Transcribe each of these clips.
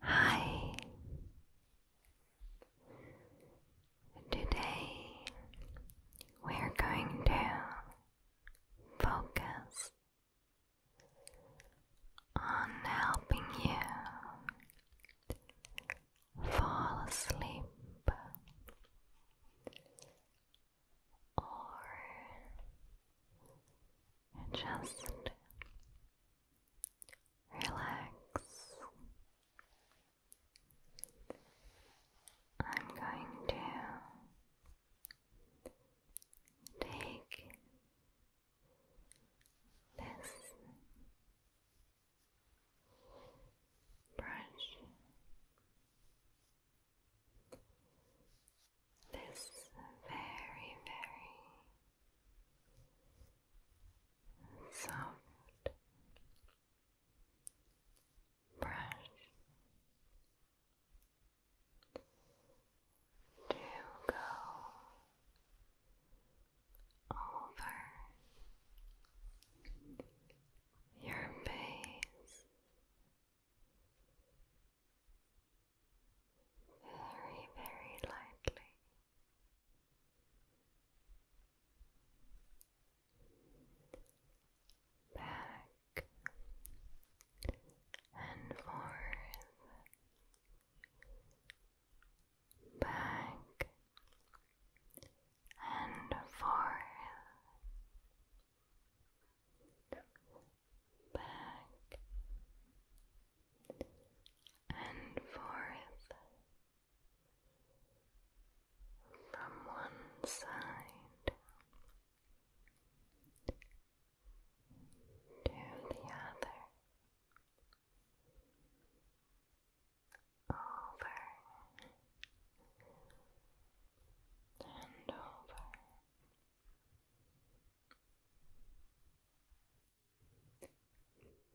Hi. Today we're going to focus on helping you fall asleep or just relax. I'm going to take this brush, this very, very soft brush to go over your face very, very lightly. Back and forth, back and forth, back and forth from one side to the other. Over and over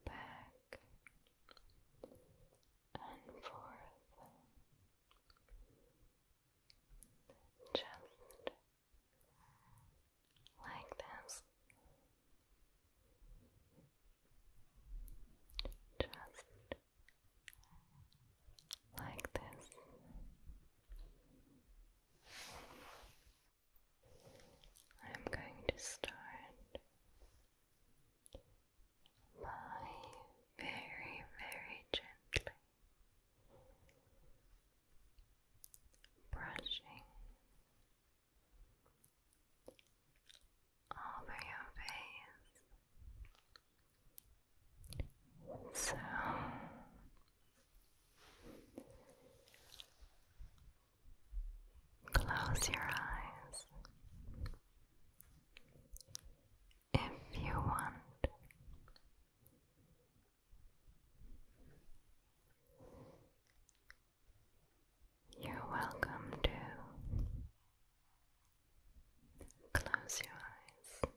back and forth, just like this, just like this. I'm going to start by very, very gently brushing over your face. So Close your eyes. If you want, you're welcome to close your eyes.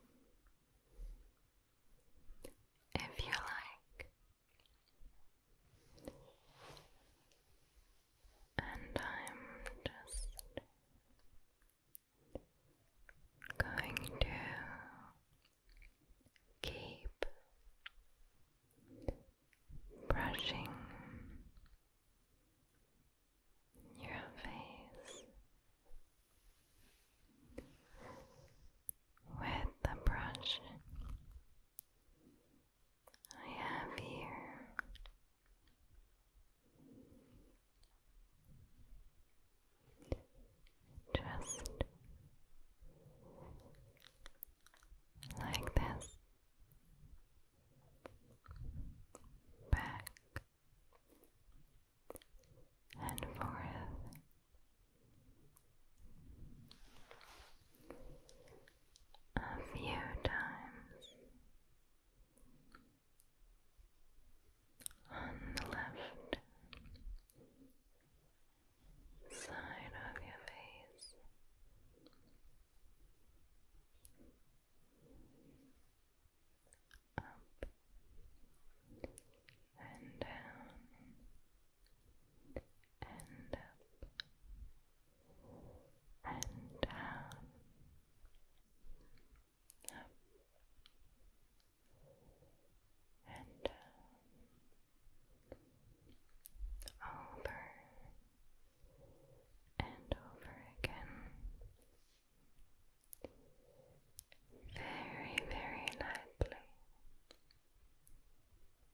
If you like, and I'm just going to keep brushing your face with the brush I have here just like this back and forth a few times on the left side of your face. Up and down and up and down, up and over and over again. Very, very lightly,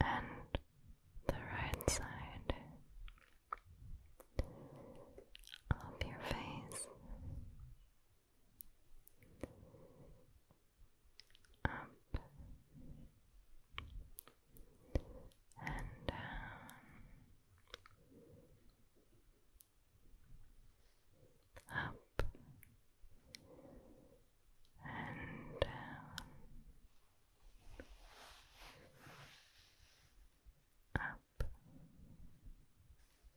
and the right side of your face up and down. Up up and down, um, up and down, um,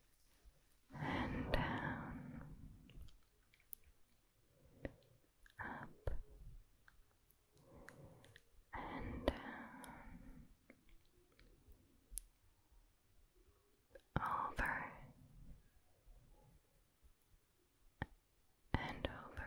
up and down. Um, over and over.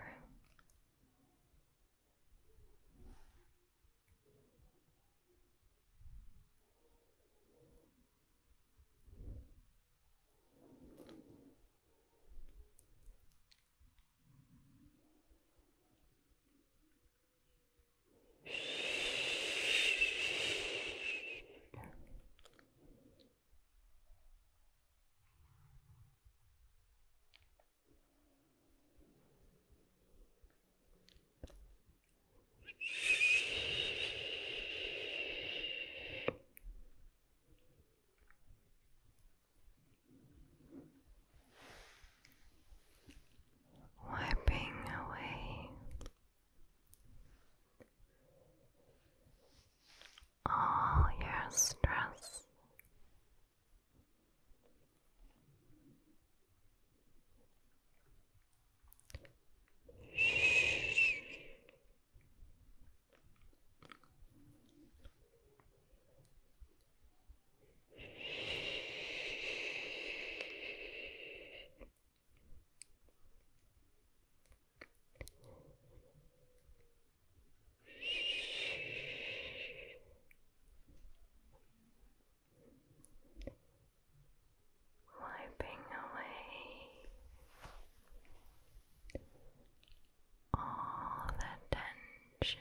Wiping away all your stress. Shh. Shh. Wiping away all the tension.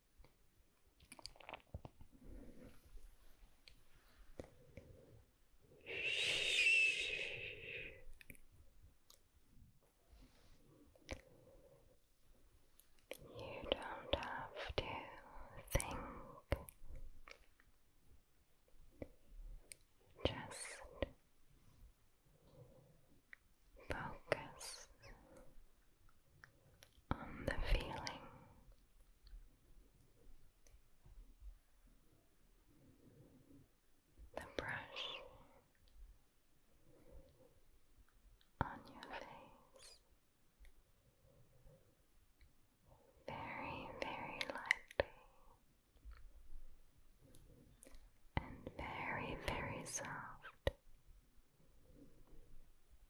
You don't have to think. Just focus on the feeling. The brush on your face, very, very lightly and very, very soft.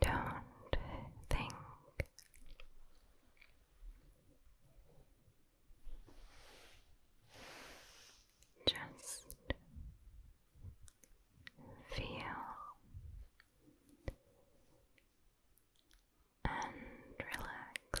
Don't think. Just feel and relax.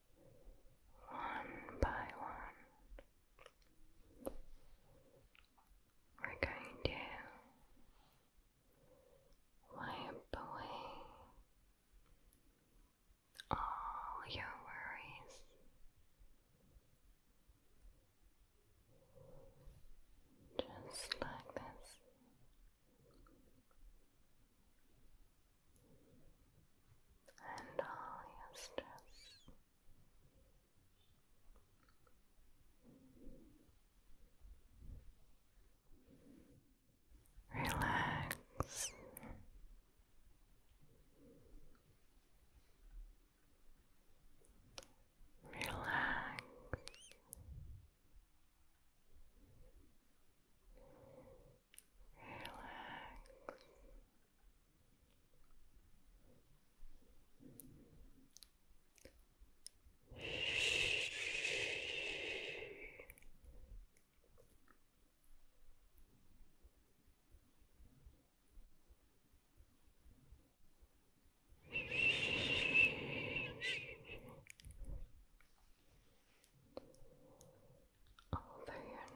one by one, we're going to wipe away all your worries. Just like this and all your stress. Relax. Relax. Relax over your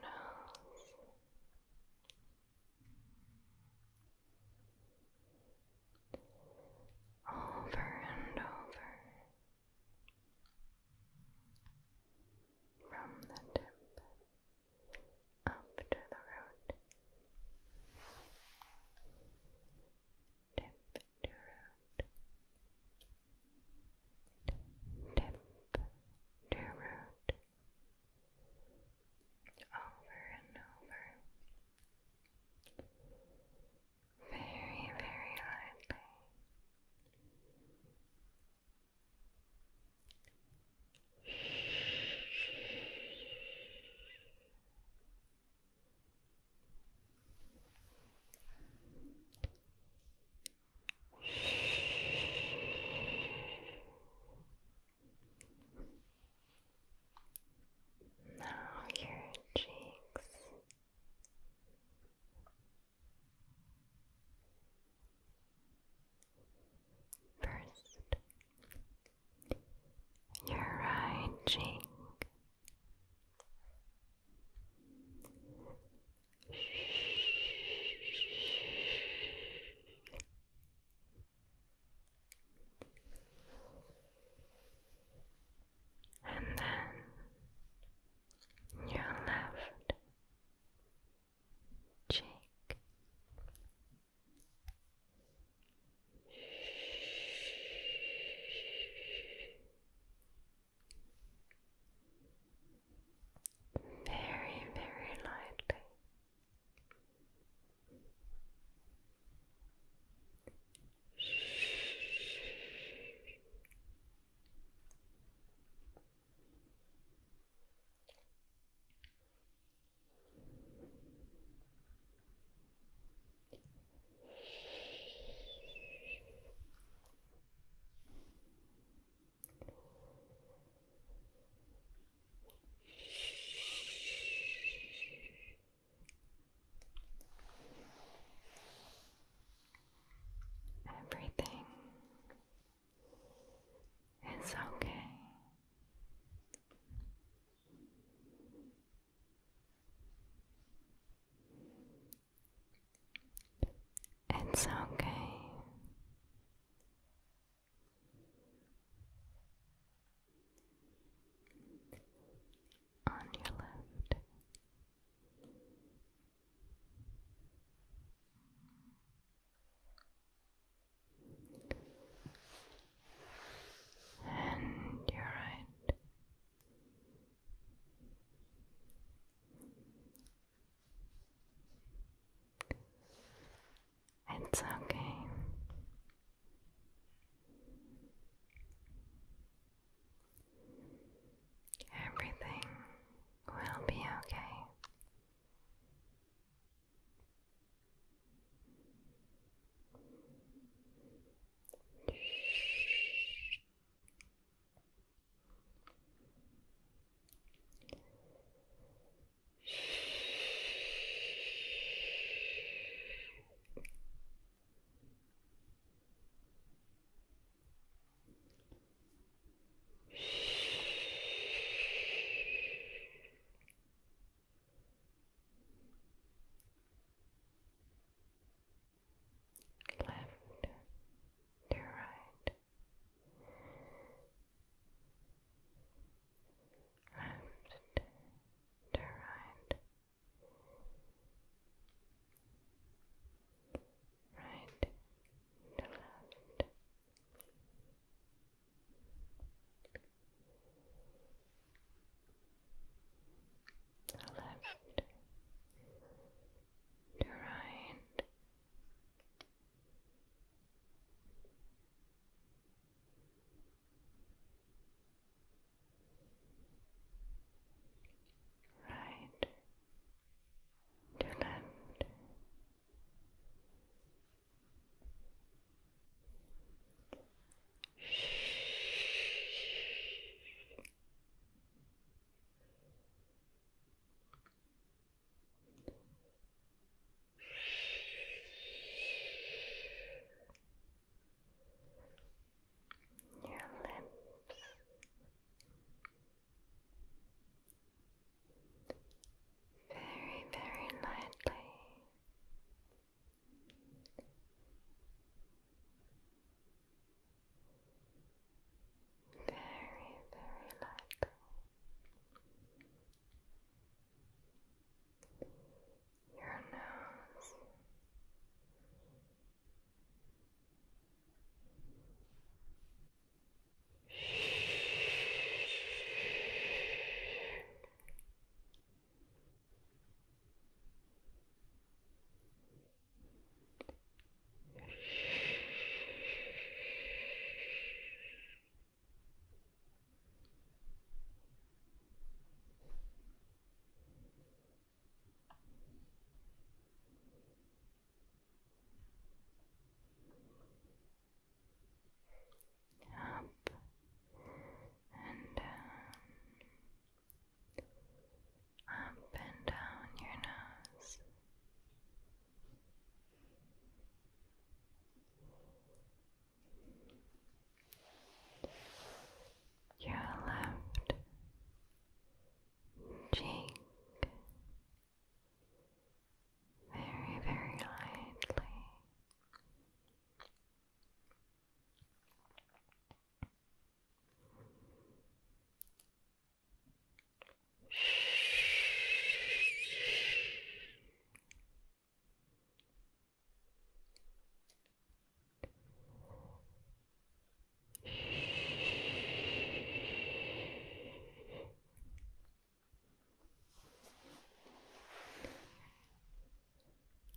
nose over and over from the tip up to the root, tip to root, tip to root over and over, very, very lightly. Now your cheeks. First, your right cheek, and then your left cheek very, very lightly. Everything is okay. It's okay on your left. And you right. It's okay. Everything will be okay. Shh left to right and to right. Right to left. left to right Right to left. Shh your lips. Very, very lightly. Very, very lightly your nose. Your up and down, up and down your nose. Your left cheek very, very lightly.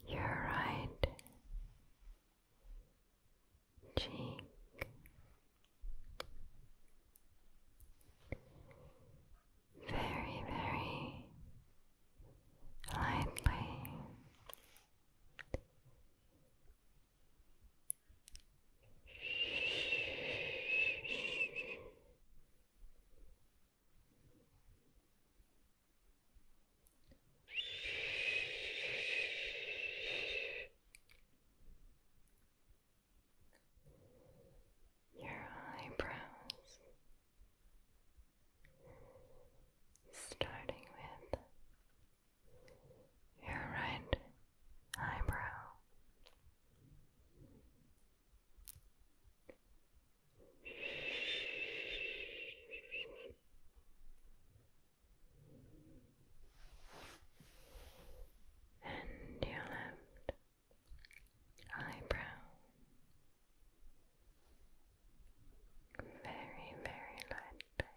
You're right. Cheek very, very lightly. Very, your eyebrows, starting with your right eyebrow. And your left eyebrow, very, very lightly. Very,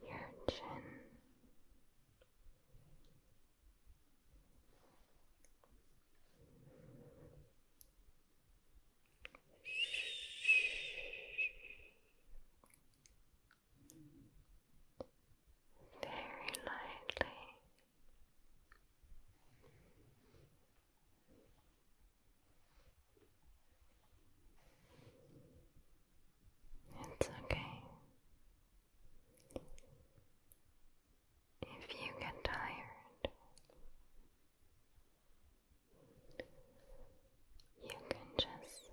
your chin. Very lightly it's okay. If you get tired, you can just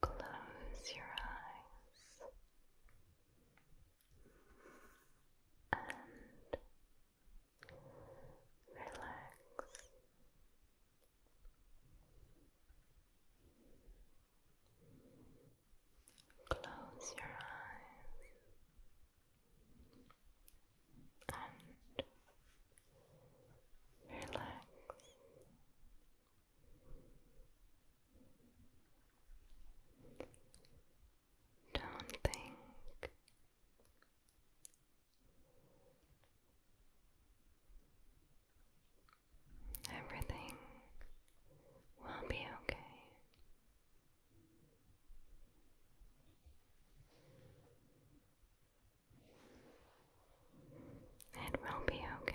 close your eyes and relax. Close your eyes and relax. Don't think Everything will be okay. It will be okay.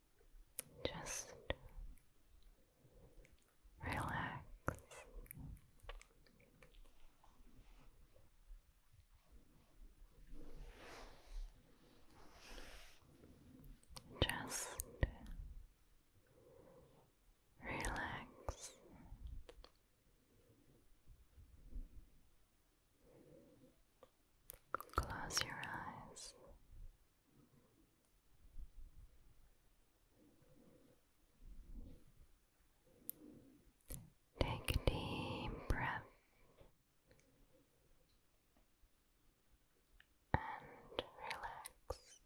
Just relax. Just relax. Close your eyes. Take a deep breath and relax.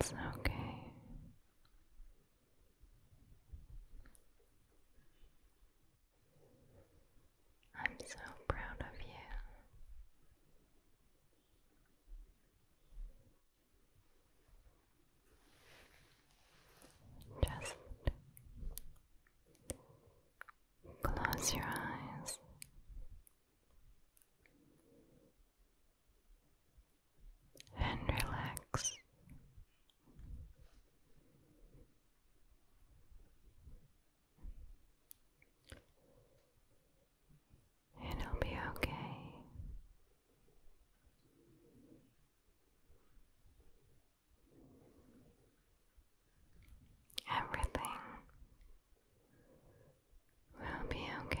It's okay. I'm so proud of you. Just Close your eyes. And relax. It'll be okay. Everything will be okay.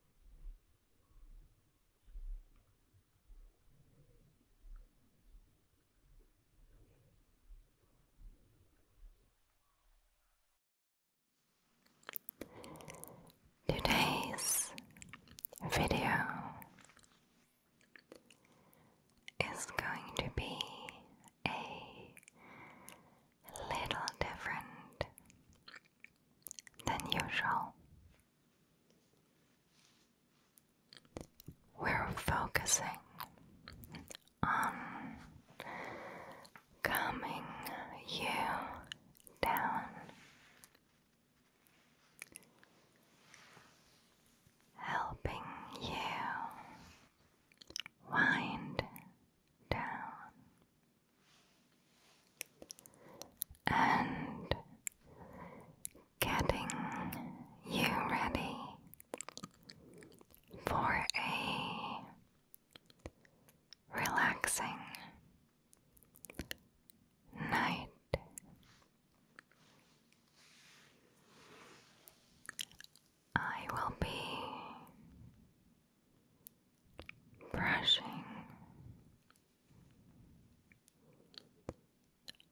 Today's video is going to be a little different than usual. We're focusing on calming you down. Helping you wind down, and getting you ready for a relaxing night. I will be brushing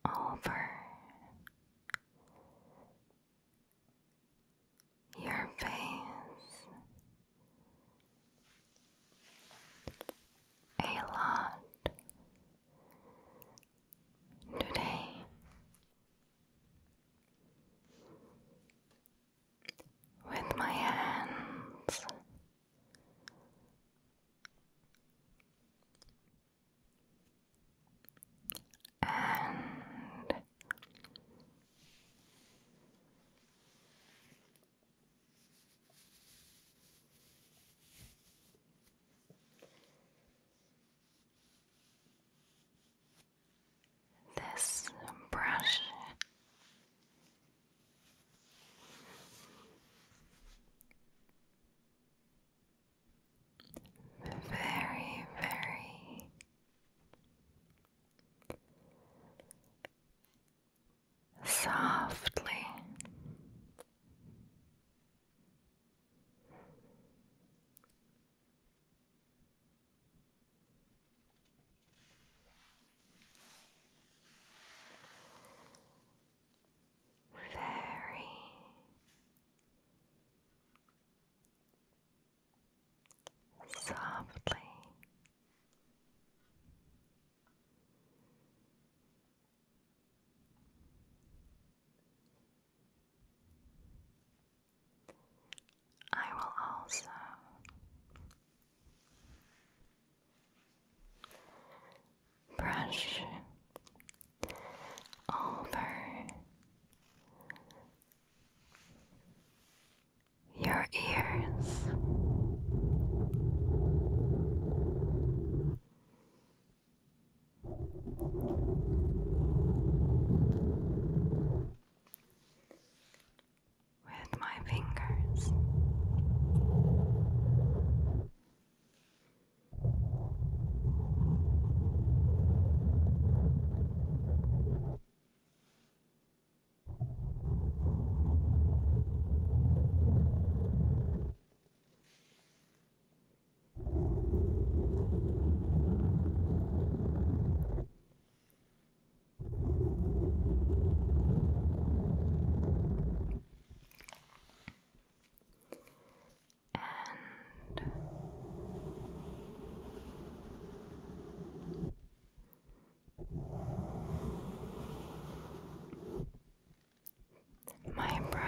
over your face a lot today with my hands. And this brush very, very softly. Very softly. I will also brush over your ears with my fingers. And my brush.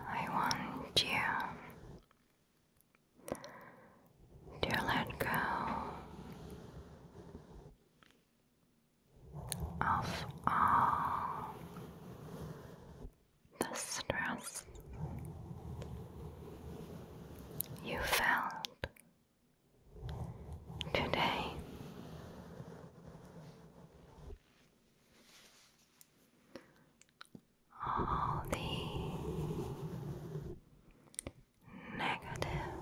I want you to let go of all uh, the stress you felt today. All the negative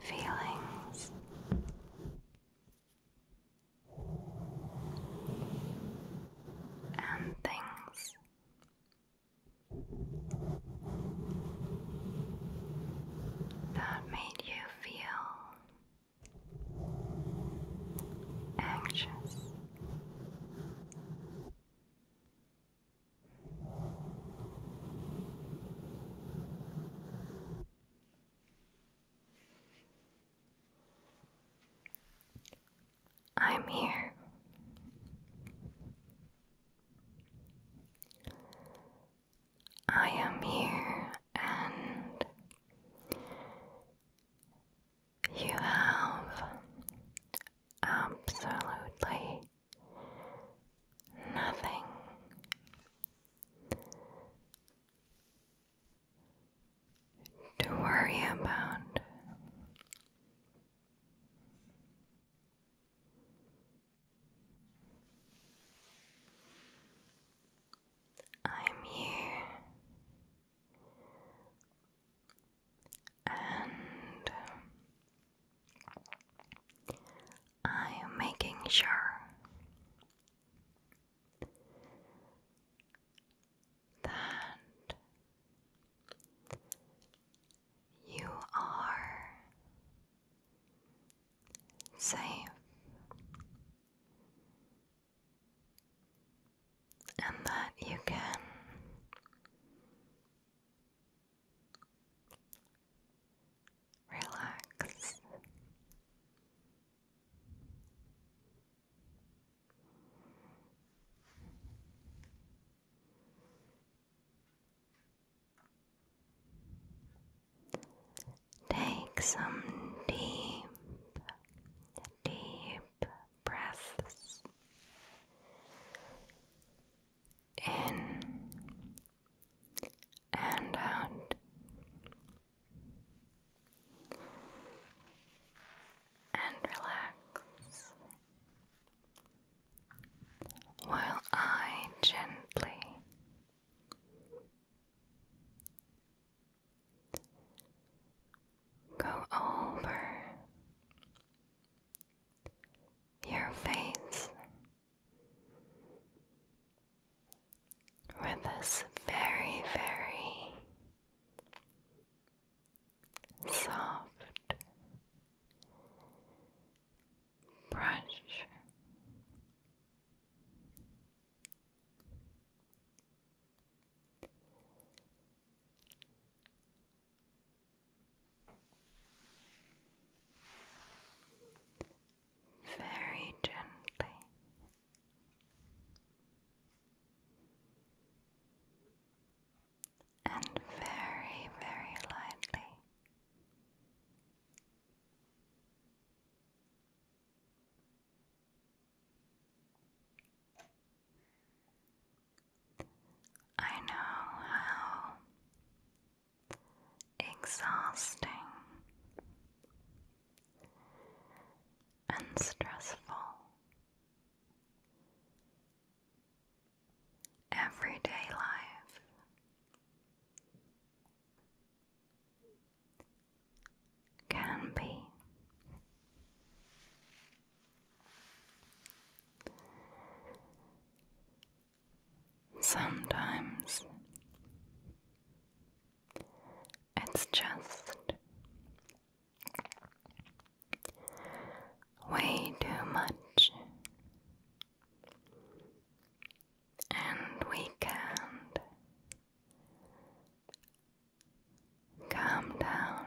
feelings and things. That made you feel anxious. I'm here. I am here, and you have absolutely nothing to worry about. I'm here and I am making sure that you are safe and that you can relax. Take some deep, deep breaths in and out and relax while I gently go over your face where this very, very soft brush very gently and very, very lightly. I know how exhausting and stressful. Everyday life. Can be sometimes it's just way too much, and we can't calm down.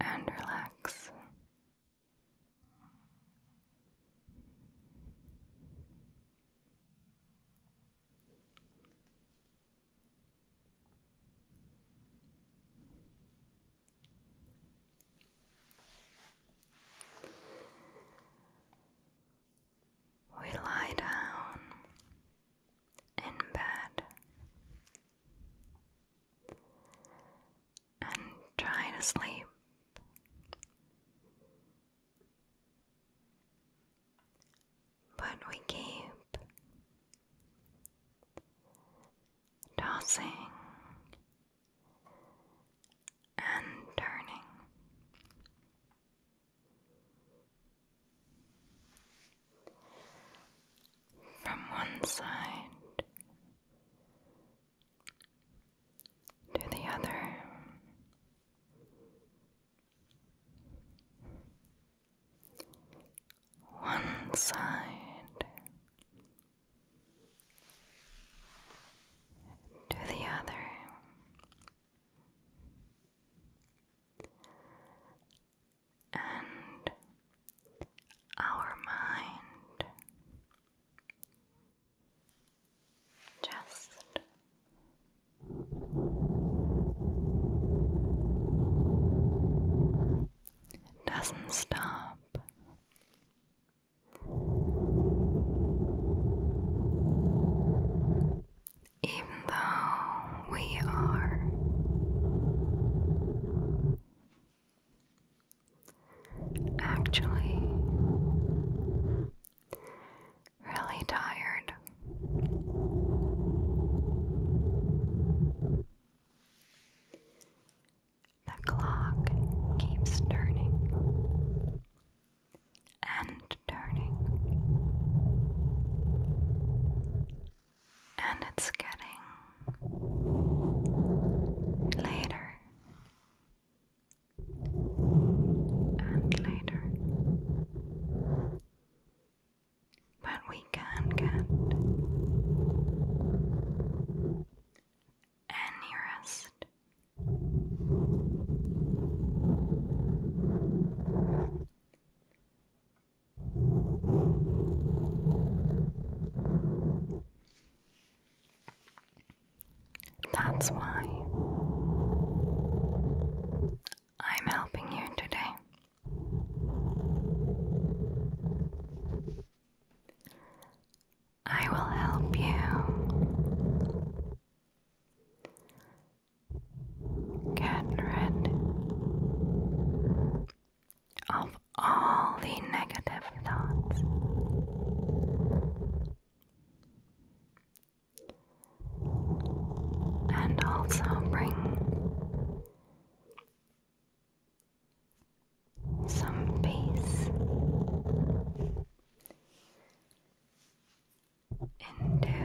And relax we lie down in bed and try to sleep. But we keep tossing and turning. From one side to the other. One side to the other. And our mind just it doesn't stop. Even though we are Actually, really tired. The clock keeps turning and turning, and it's getting later and later. But we can get any rest. That's why I'm helping you today. I will help you. Get rid of all the negative thoughts and also bring some peace into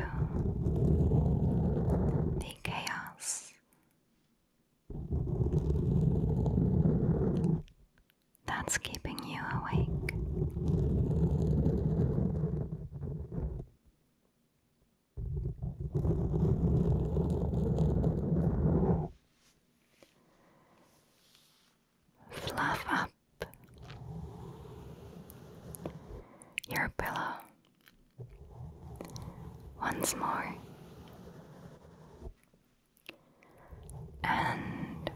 the chaos that's keeping you awake. Fluff up your pillow once more and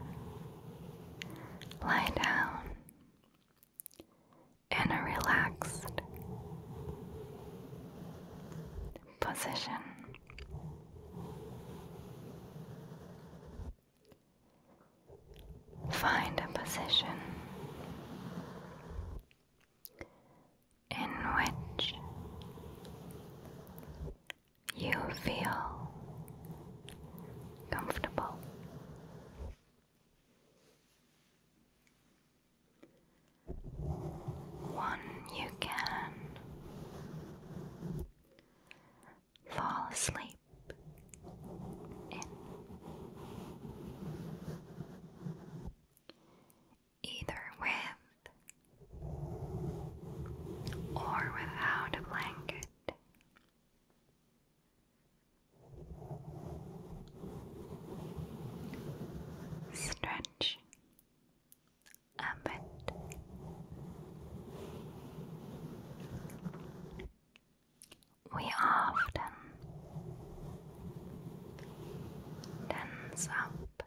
lie down in a relaxed position. Find a position in which you feel comfortable. One, you can fall asleep Either with or without a blanket, Stretch a bit. We often tense up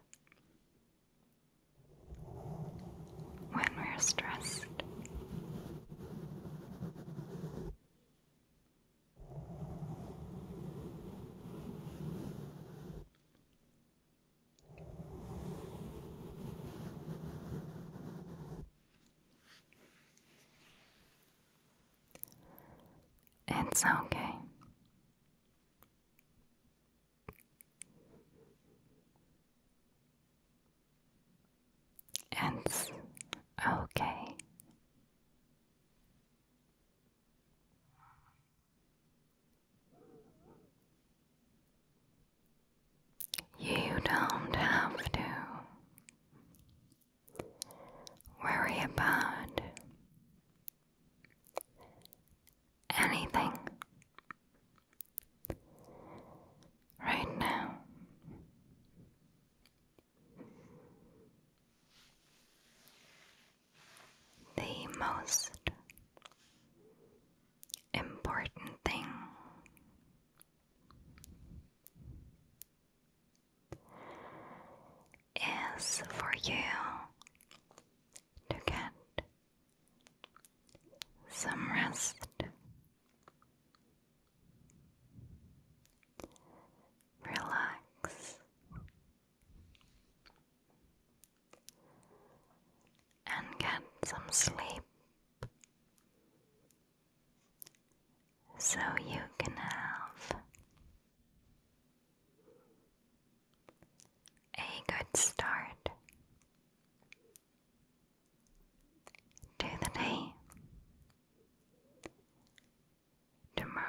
when we're stressed. It's okay. It's okay. You don't have to worry about anything right now. The most important thing is for you to get some rest, relax, and get some sleep so you can have. A good start to the day tomorrow.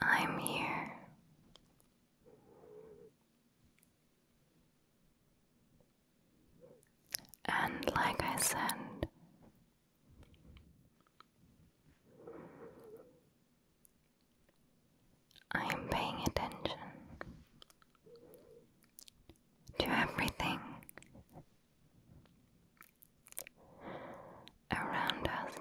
I'm here and like I said, I am paying attention to everything around us.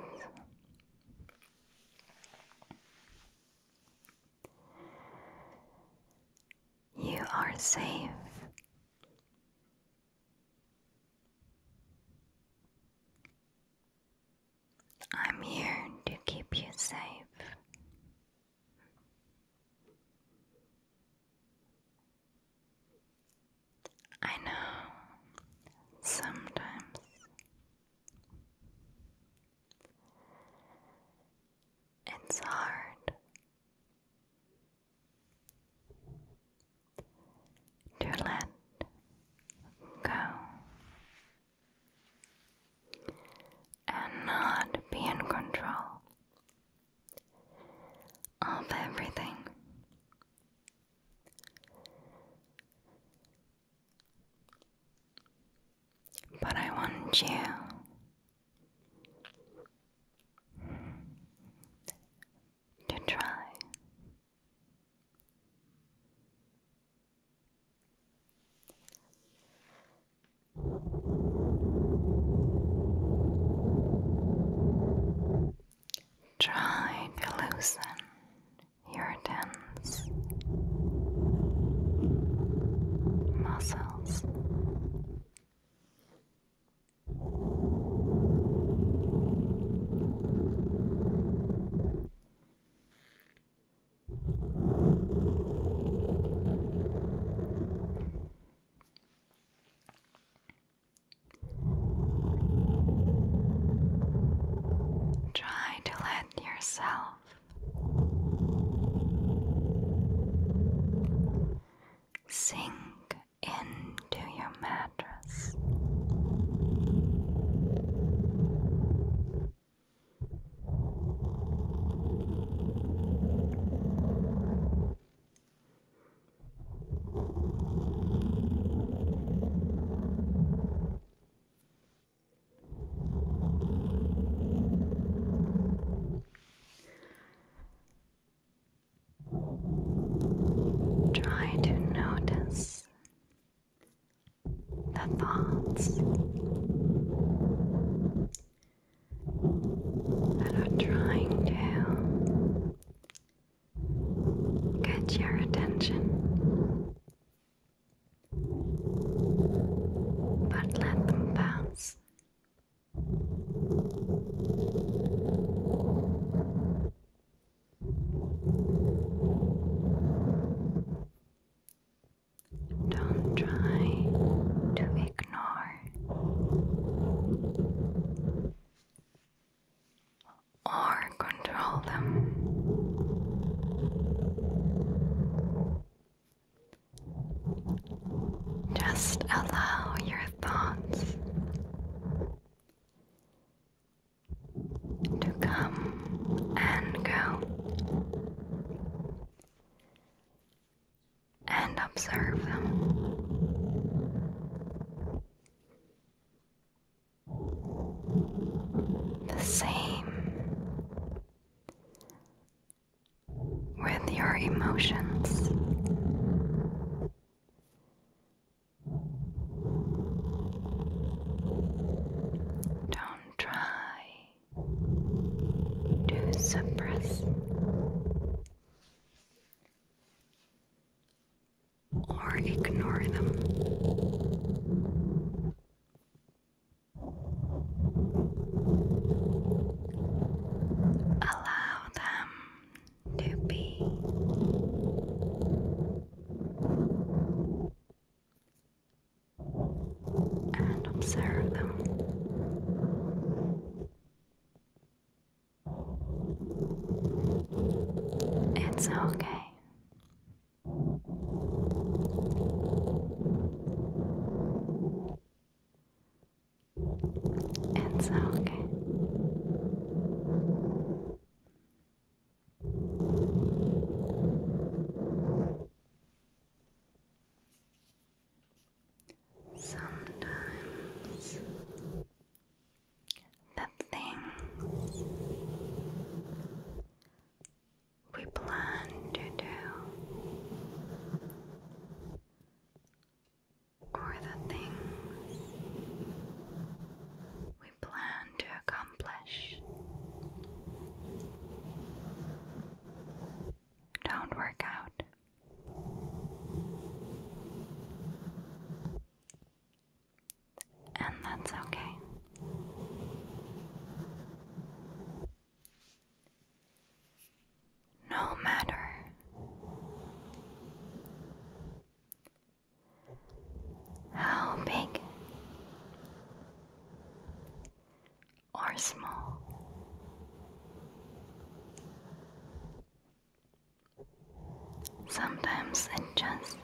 You are safe. I'm here to keep you safe. I know sometimes it's hard to let go and not be in control of everything. But I want you to try. Try to loosen irritants, muscles. Try to let yourself Sink into your mattress. Try to notice the thoughts that are trying to get your attention but let them bounce. Don't try to ignore or control them. Just allow your thoughts to come and go and observe them. The same with your emotions. Don't try to suppress or ignore them. Allow them to be. And observe them. It's okay And so, okay. Sometimes the things we plan to do, or the things we plan to accomplish don't work out. And that's okay. No matter how big or small sometimes it just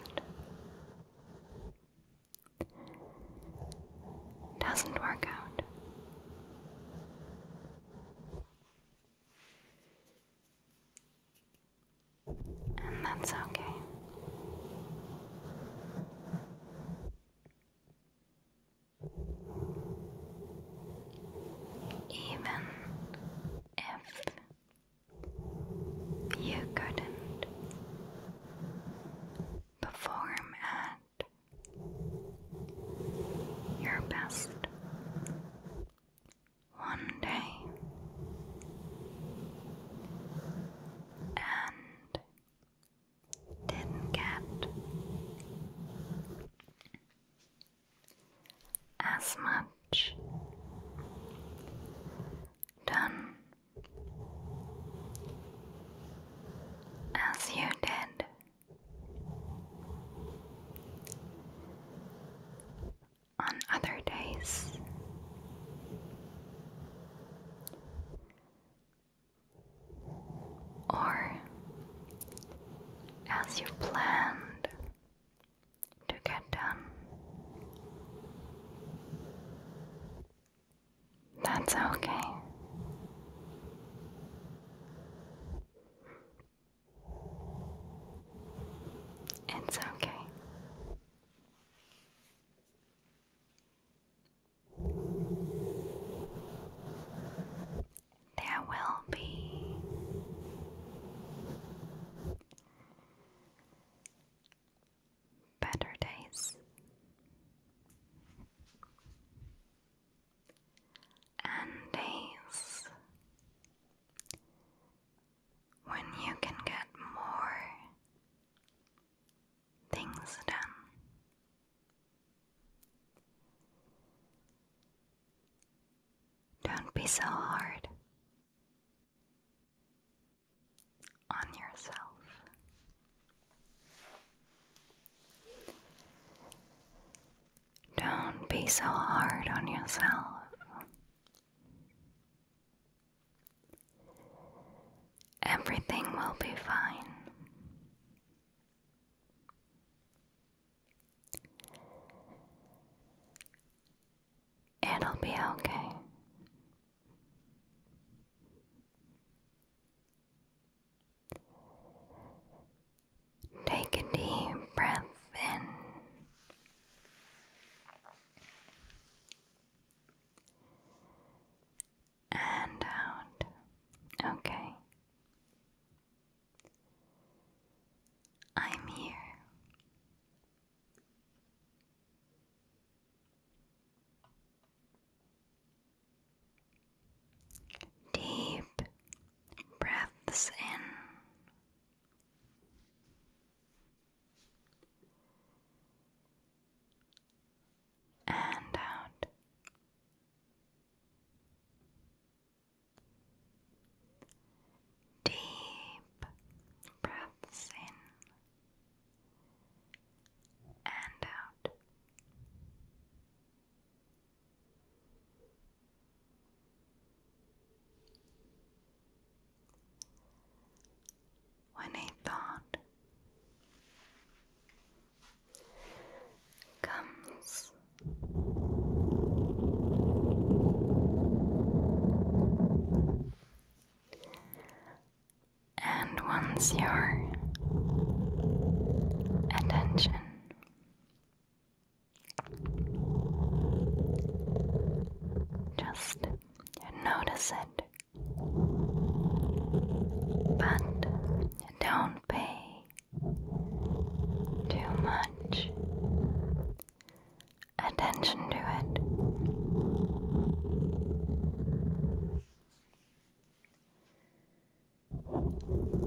doesn't work out. And that's okay. Even if you couldn't perform moment. Your best. One day. And didn't get as much done as you did. On other days, or as you planned to get done, that's okay. It's okay. There will be better days and days when you can get more things done. Don't be so hard on yourself. Don't be so hard on yourself. Everything will be fine. It'll be okay. Take a deep breath in. And out. Okay. I'm here. Deep breaths in. And out. Deep breaths in and out. When a thought comes. And once your attention just notice it, but don't pay too much attention to it.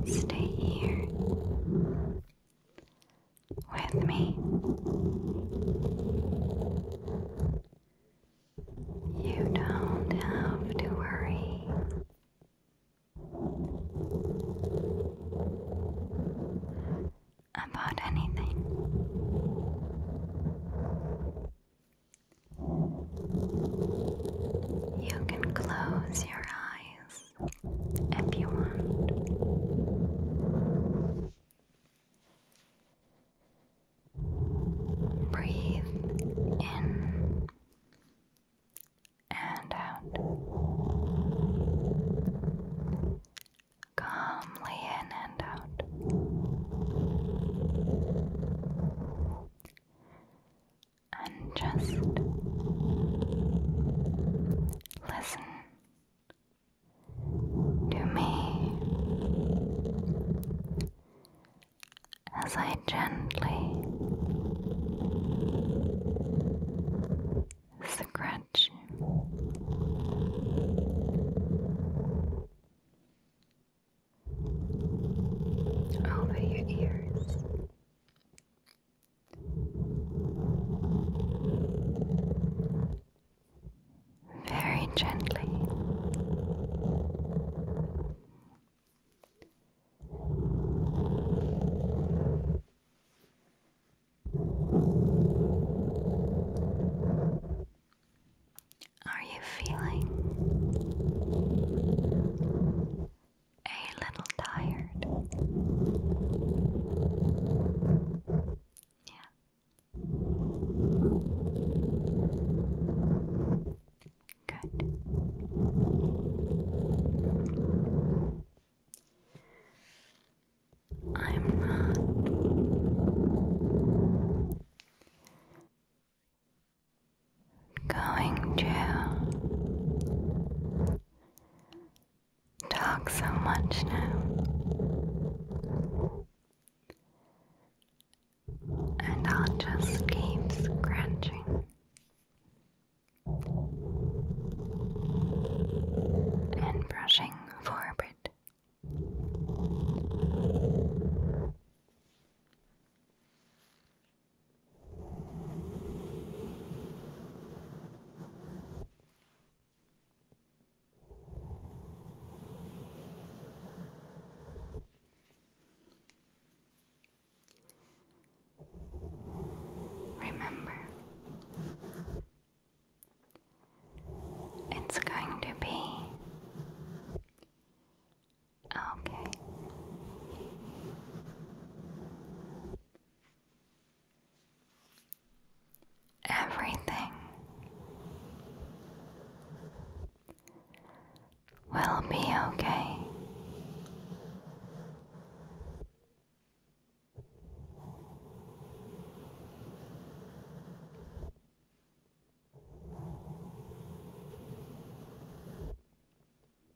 Stay here with me. You don't have to worry. About anything. You can close your eyes if you want. Breathe in and out. Calmly in and out and just listen to me as I gently scratch over your ears. Very gently. Are you feeling a little tired. Yeah. Good. I'm not uh, going to talk so much now, and I'll just keep scratching. And brushing forward. Remember, it's going to be Okay. Everything will be okay.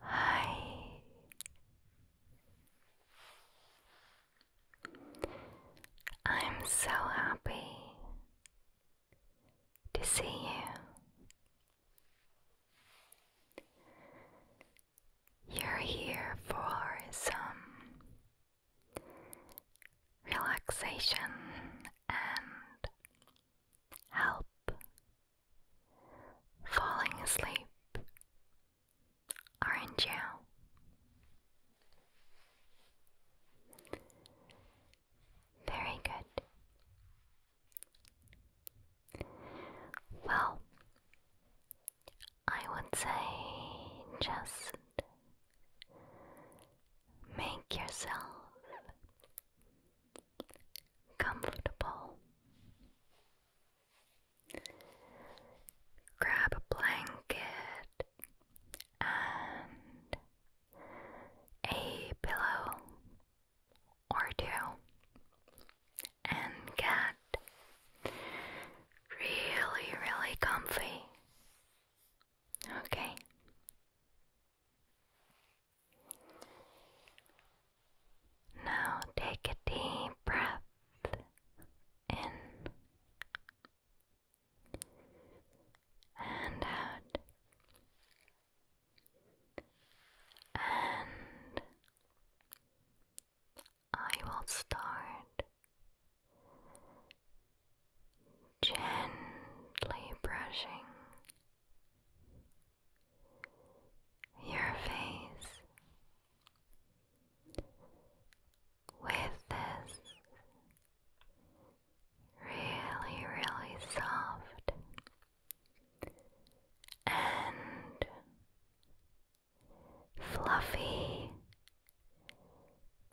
Hi. I'm so happy to see you. You're here for some relaxation and help falling asleep, aren't you? Very good. Well, I would say just make yourself comfortable. Grab a blanket and a pillow or two and get really, really comfy. Okay. Now take a deep breath in and out and I will start gently brushing your face with this really, really soft and fluffy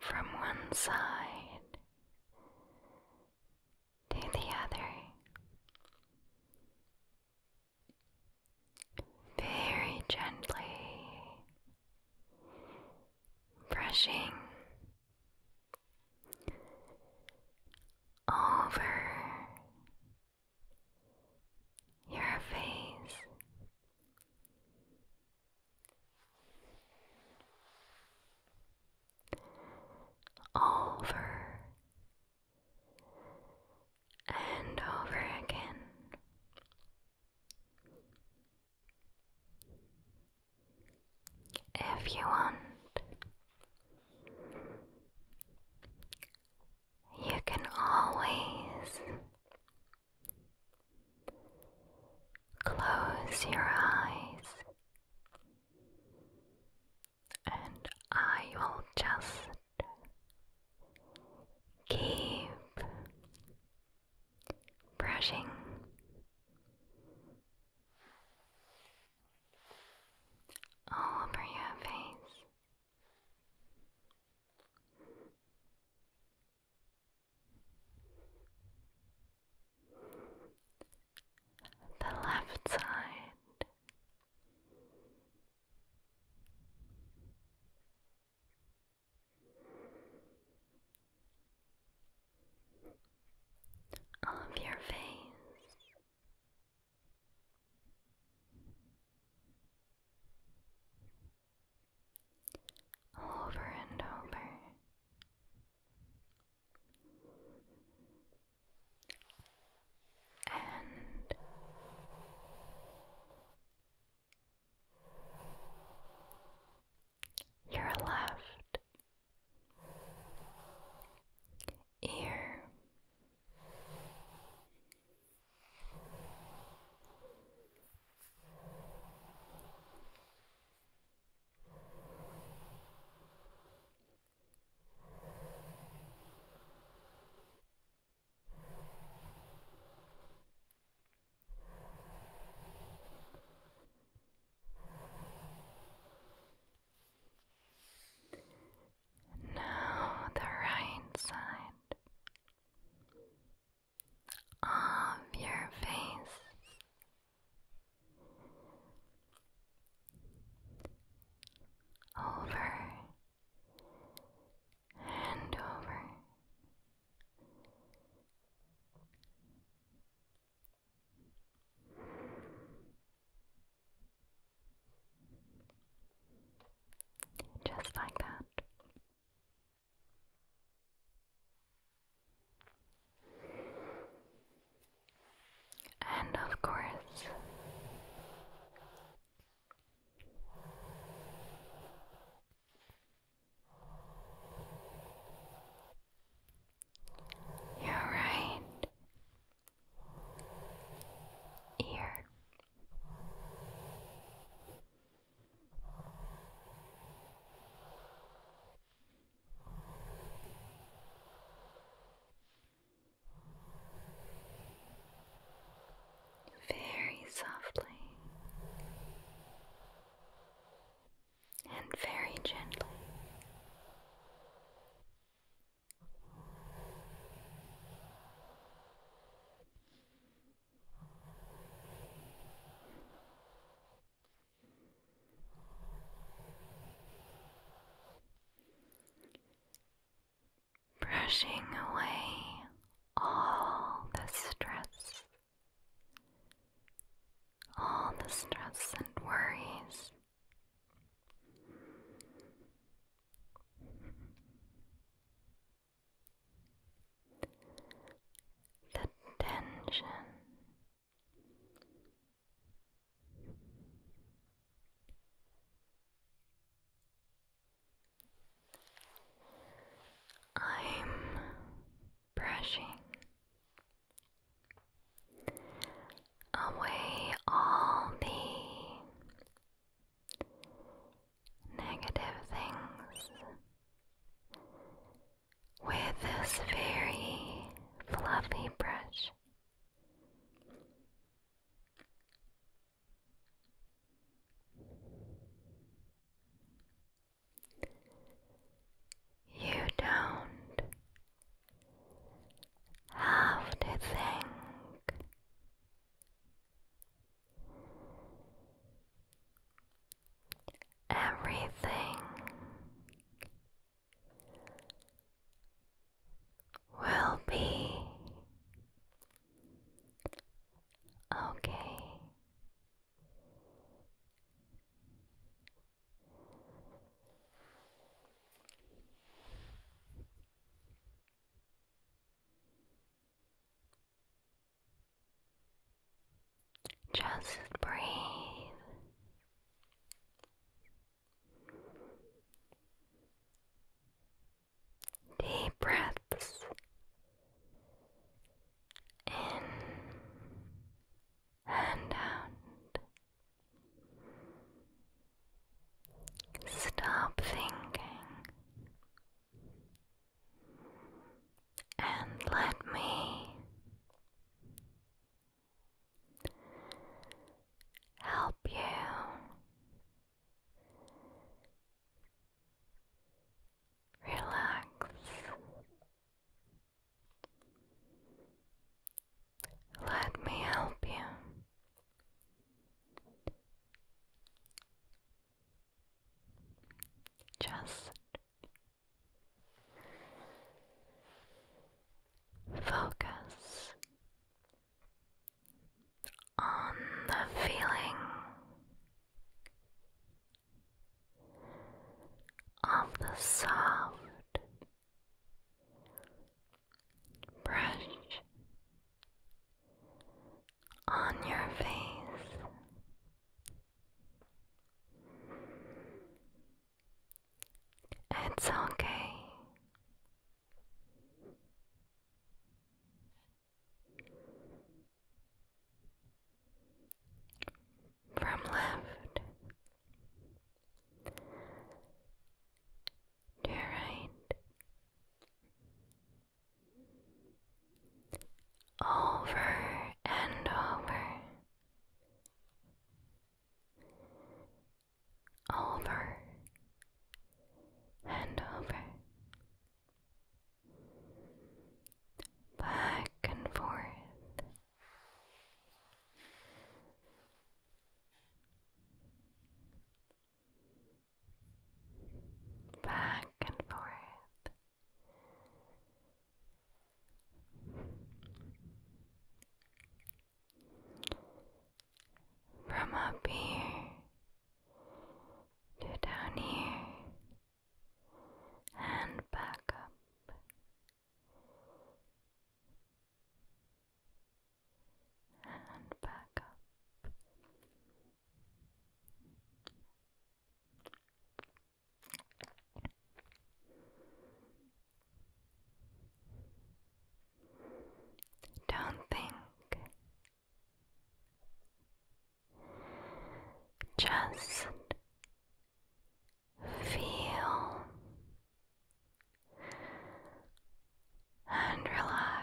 from one side to the other, very gently brushing over your face over and over again. If you want, you can always Close your eyes, and I will just keep brushing. All over your face, the left side. Of your face, over and over. And your left ear now the right side of um, your face. Over and over. Just like that. And of course, your right ear. Very softly and very gently. Brushing away all the stress, all the stress and worries the tension. I'm brushing away all the negative things with this very fluffy brush. You don't have to think. Everything will be okay. Just breathe. Deep breaths in and out. Stop thinking and let me help you relax. Let me help you. Just Focus on the feeling of the soft brush on your face. It's okay. From left to right, over and over over and over, back and forth. Back and forth, from up here to down here and back up. And back up. Don't think. Just feel and relax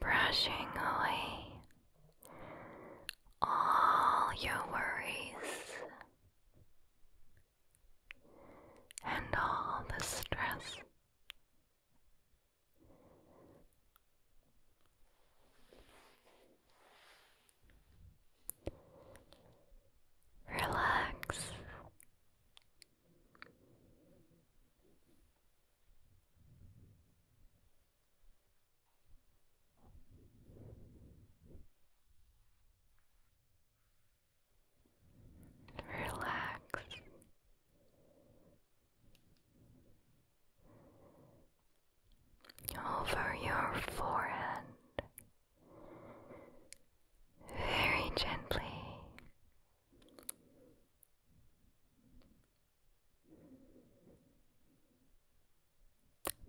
brushing away all your worries and all the stress. Relax Relax. Over your forehead very gently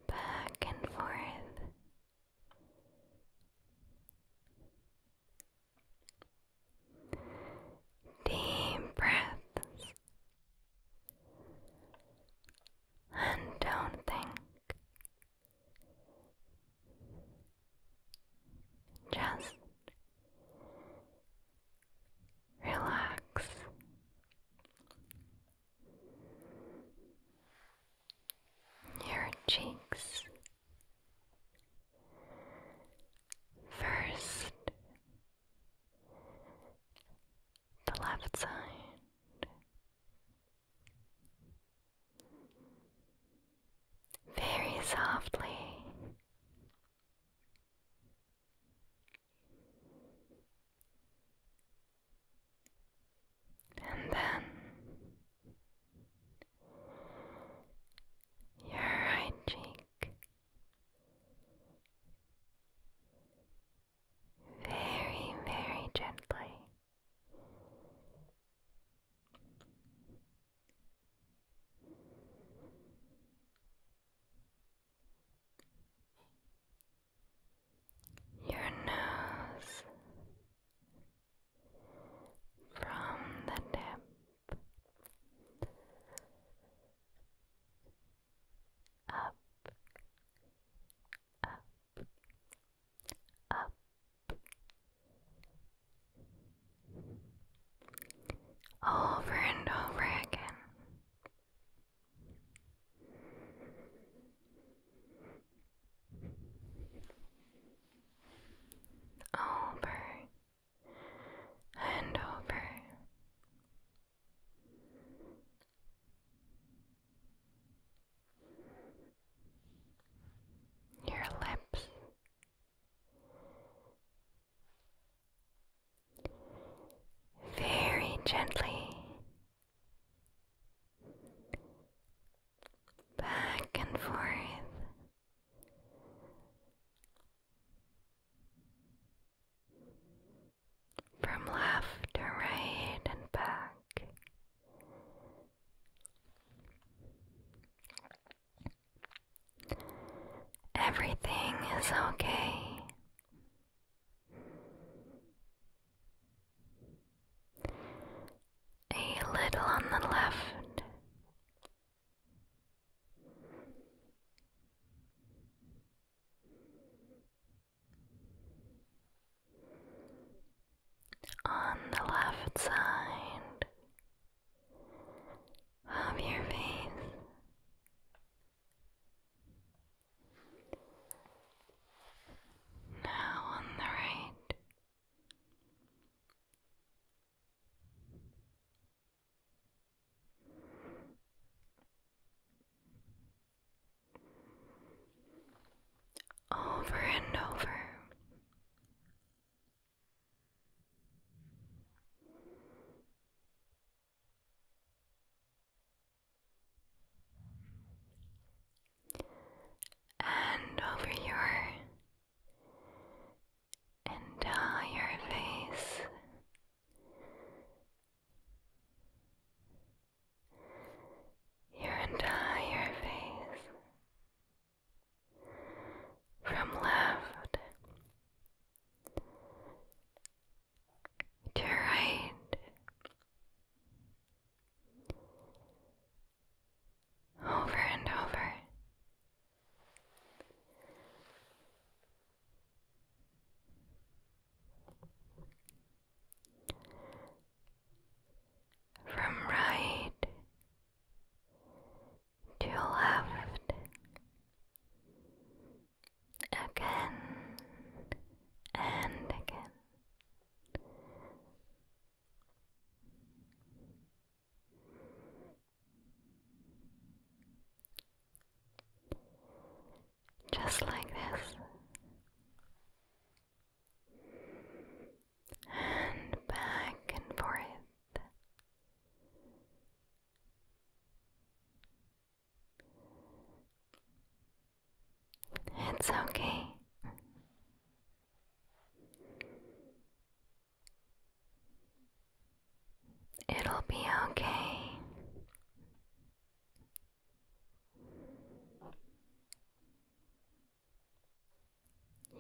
Back and forth. Deep breaths. And don't think. Just relax. Your cheeks first, the left side. Very softly and then your right cheek very, very gently your nose from the tip up, up, up, over and over again. Over and over. Your lips, very gently back and forth. From left to right and back, Everything is okay. A little on the left. On the left side, of your face. Now on the right. Over and over, and over your entire face. Your entire face from left to right. Over and over. From right to your left, again and again. Just like this, and back and forth, it's okay. It'll be okay.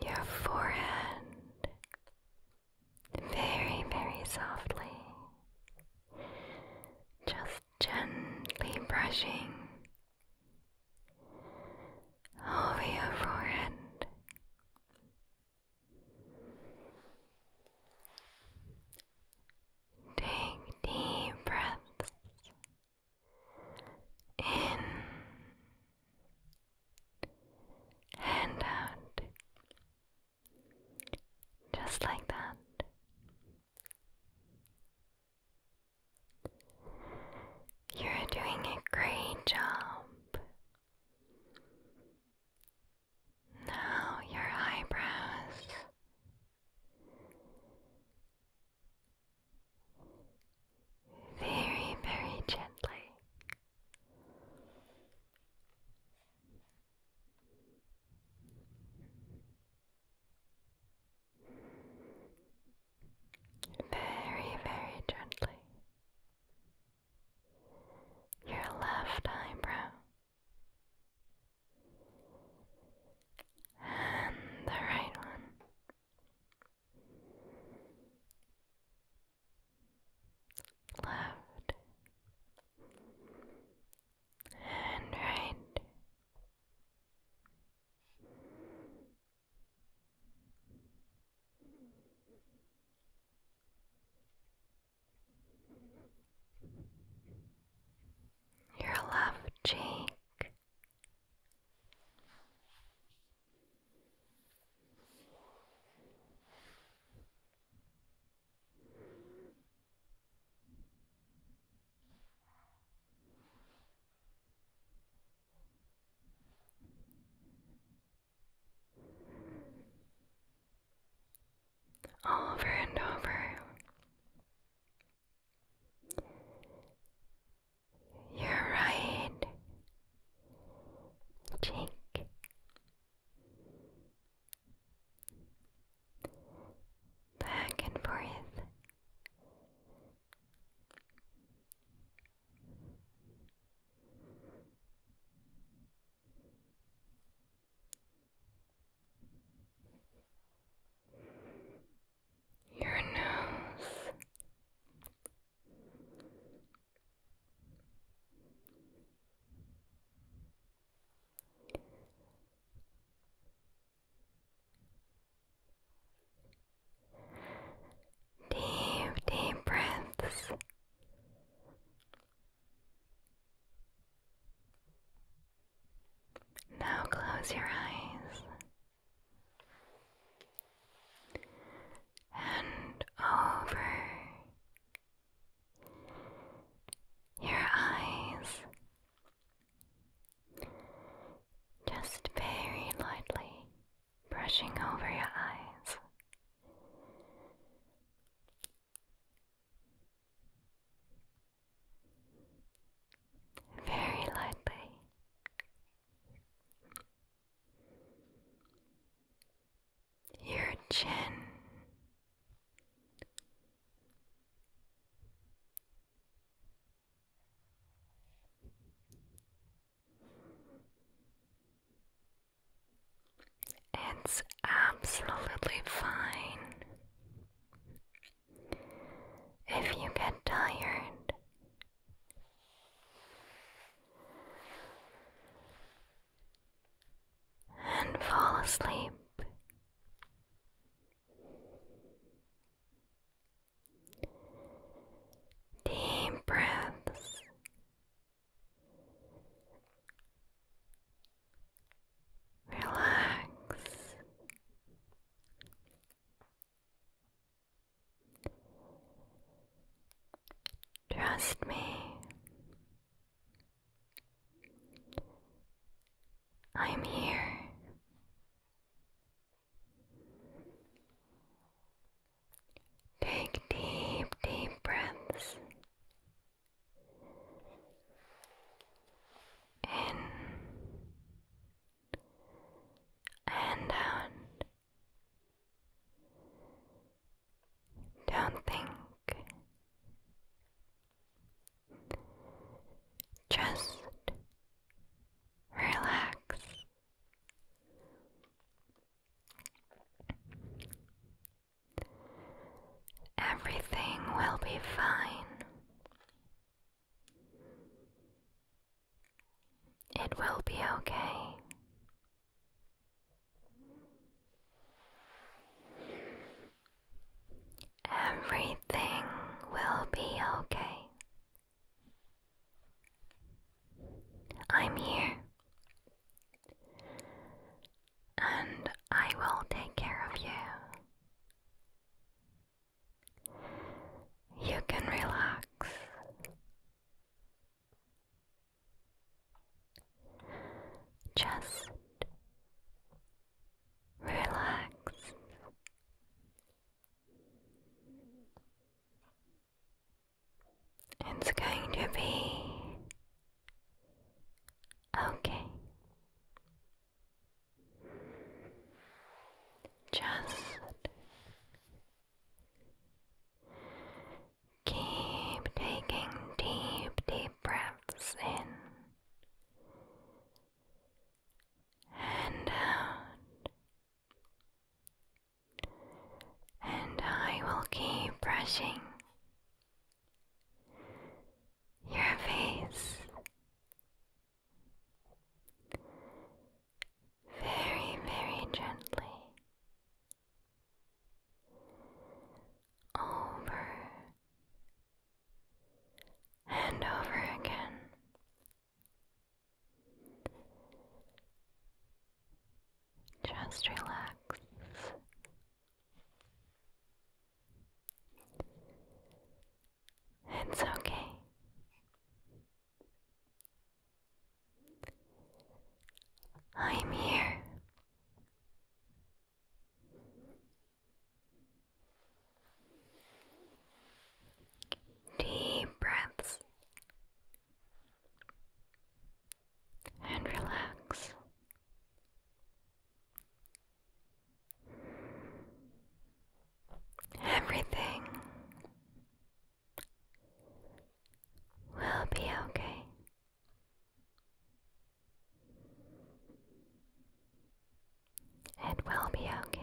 Your forehead very, very softly, just gently brushing over your forehead. Take deep breaths in and out. Just like that. You're doing a great job. Now your eyebrows. Very, very gently. Very, very gently. Your left eyebrow and the right one left and right. Your left cheek, over and over. Your right cheek, back and forth. Your nose, Deep, deep breaths. Now close your eyes and over your eyes. Just very lightly brushing over your eyes. Very lightly your chin. It's absolutely fine if you get tired and fall asleep. Deep breaths. Relax. Trust me, I'm here. Take deep, deep breaths in and out. Don't think. Just relax. Everything will be fine. It will be okay. Everything will be okay. I'm here. And I will take care of you. You can relax. Just relax. It's going to be okay. Just Keep taking deep, deep breaths in and out. And I will keep brushing your face very, very gently over and over again. Just relax. It's okay. I'm here. Deep breaths and relax. Everything will be okay. It will be okay.